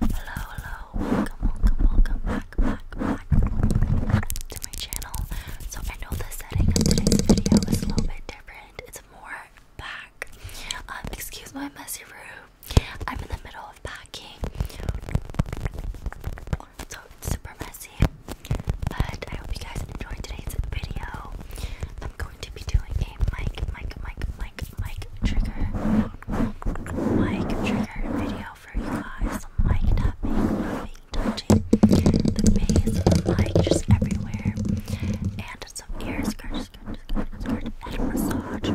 Hello, hello, welcome, welcome, welcome back, back, back to my channel. So I know the setting of today's video is a little bit different. It's more back. Um, excuse my messy room. I'm in the middle of packing. So super messy. But I hope you guys enjoyed today's video. I'm going to be doing a mic, mic, mic, mic, mic trigger, mic trigger video for you guys. Mic tapping, rubbing, touching, the base mic just everywhere, and some ear scratch, scratch, scratch, scratch, head massage.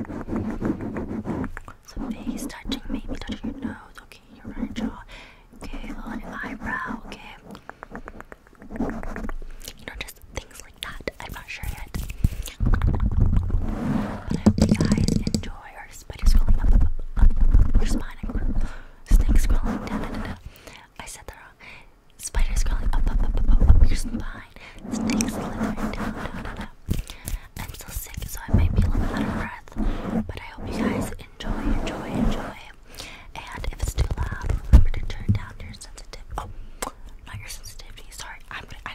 Some face touching, maybe touching your nose. Okay, your right jaw. Okay, a little eyebrow. Okay, you know, just things I'm not sure yet. But I hope you guys enjoy our spider scrolling up, up, up, up, up, up your spine. Snake scrolling down, down, down. I said that wrong. Spider scrolling up, up, up, up, up, up your spine. Snake slithering down, down, down, down. I'm still sick, so I might be a little bit out of breath. But I hope you guys enjoy, enjoy, enjoy. And if it's too loud, remember to turn down your sensitivity. Oh, not your sensitivity. Sorry, I'm gonna. I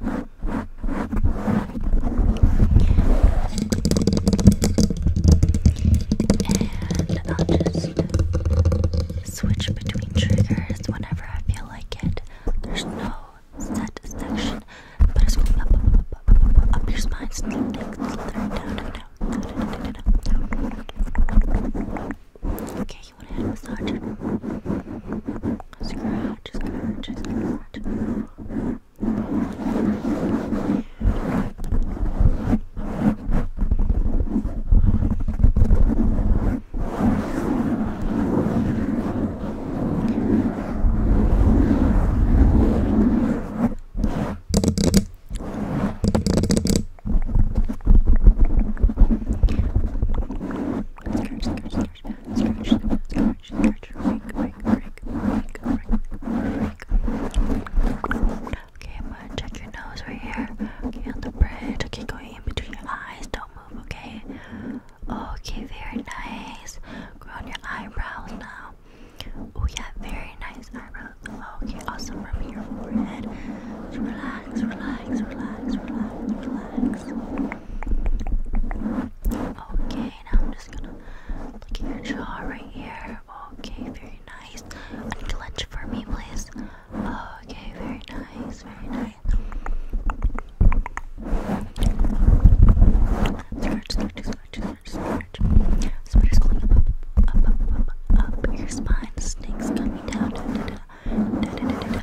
And I'll just uh, switch between triggers whenever I feel like it. There's no set section, but it's going up, up, up, up, up, up, up your spine, down, down, down, down, down, Okay you want a head massage? Scratch, scratch, scratch. Scratch, scratch, stretch, stretch, stretch, stretch, break, break, break, break, break, break. Okay, I'm gonna check your nose right here. Okay, on the bridge. Okay, going in between your eyes. Don't move, okay? Okay, very nice. Go on your eyebrows now. Oh yeah, very nice eyebrows. Okay, awesome. Rubbing your forehead. Relax relax, relax, relax, relax, Okay, now I'm just gonna look at your jaw right here. Okay, very nice. Unclench for me, please. Okay, very nice, very nice. Stretch, stretch, stretch, stretch, Spiders going up, up, up, up, up your spine. Snakes coming down, da da da, da da da da.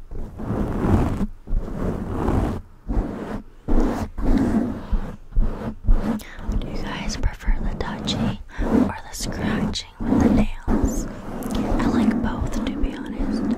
Do you guys prefer the touchy or the scratching with the nails? I like both, to be honest.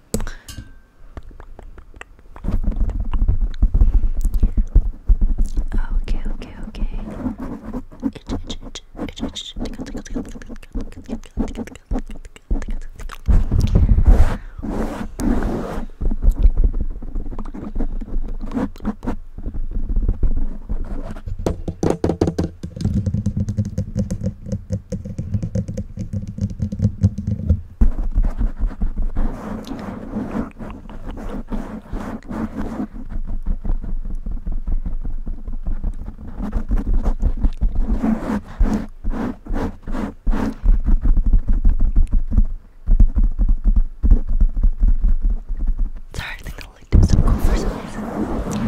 Okay, okay, okay. Itch, itch, itch, itch, itch. Tickle, tickle, tickle, tickle, tickle, tickle, tickle, tickle, tickle, tickle, tickle, tickle. Okay, Sorry, I think the light is so cool for some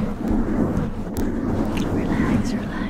reason. Relax, relax.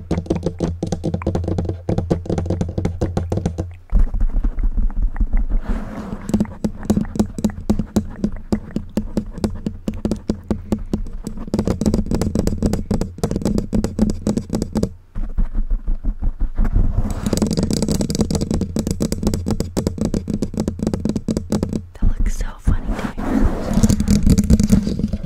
That looks so funny. To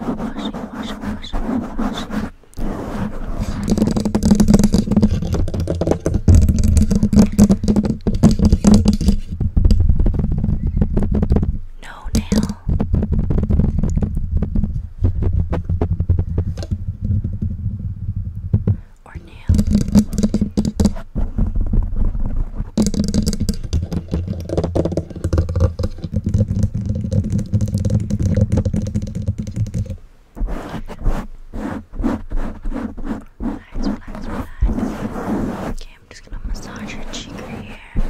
washing, washing, washing, washing. No nail. Or nail. Relax, relax, relax. Okay, I'm just gonna massage your cheek right here.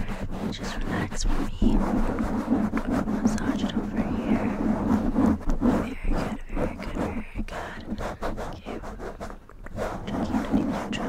Just relax for me. Massage it over here. Very good, very good, very good. Okay. Chucky,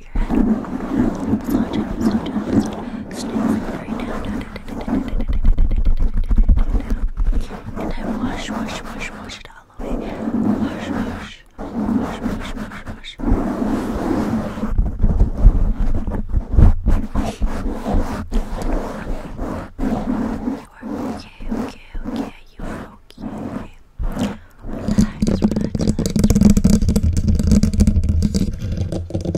up your head. Slow down, slow down, slow down. Sniffling right down, down, down, down, down, down, And then wash, wash, wash, wash it all away. Wash, wash, wash, wash, wash, wash. You are okay, okay, okay. You are okay. Okay. Relax, relax, relax, relax.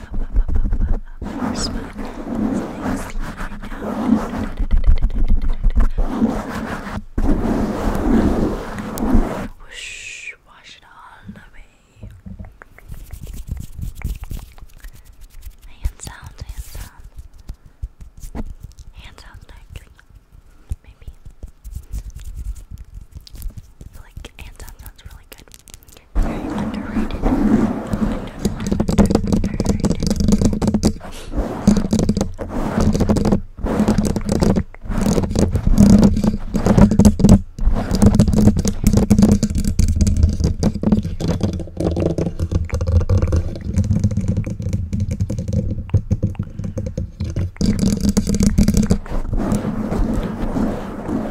First one is next wash it all away. Hand sound, hand sound. Hand Maybe. like hand sounds really good. Very underrated. Under, under, under, underrated.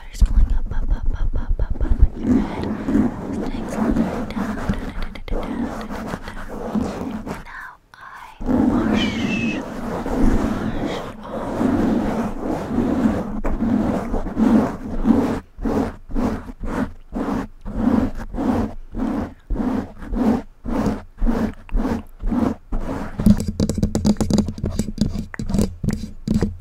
better smelling up, up, up, up, up, up, up on your head. Sticks down, down, down, down, down, down, down. Now I wash, wash off.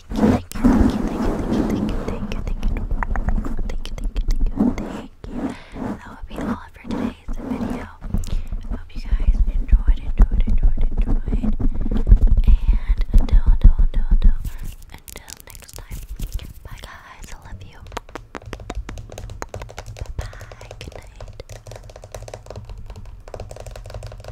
thank you, thank you, thank you, thank you, thank you, thank you, thank you, thank you, thank you, thank you, thank you. That would be all for today's video. Hope you guys enjoyed, enjoyed, enjoyed, enjoyed. And until, until, until, until, until next time. Bye, guys. I love you. Bye, bye. Good night.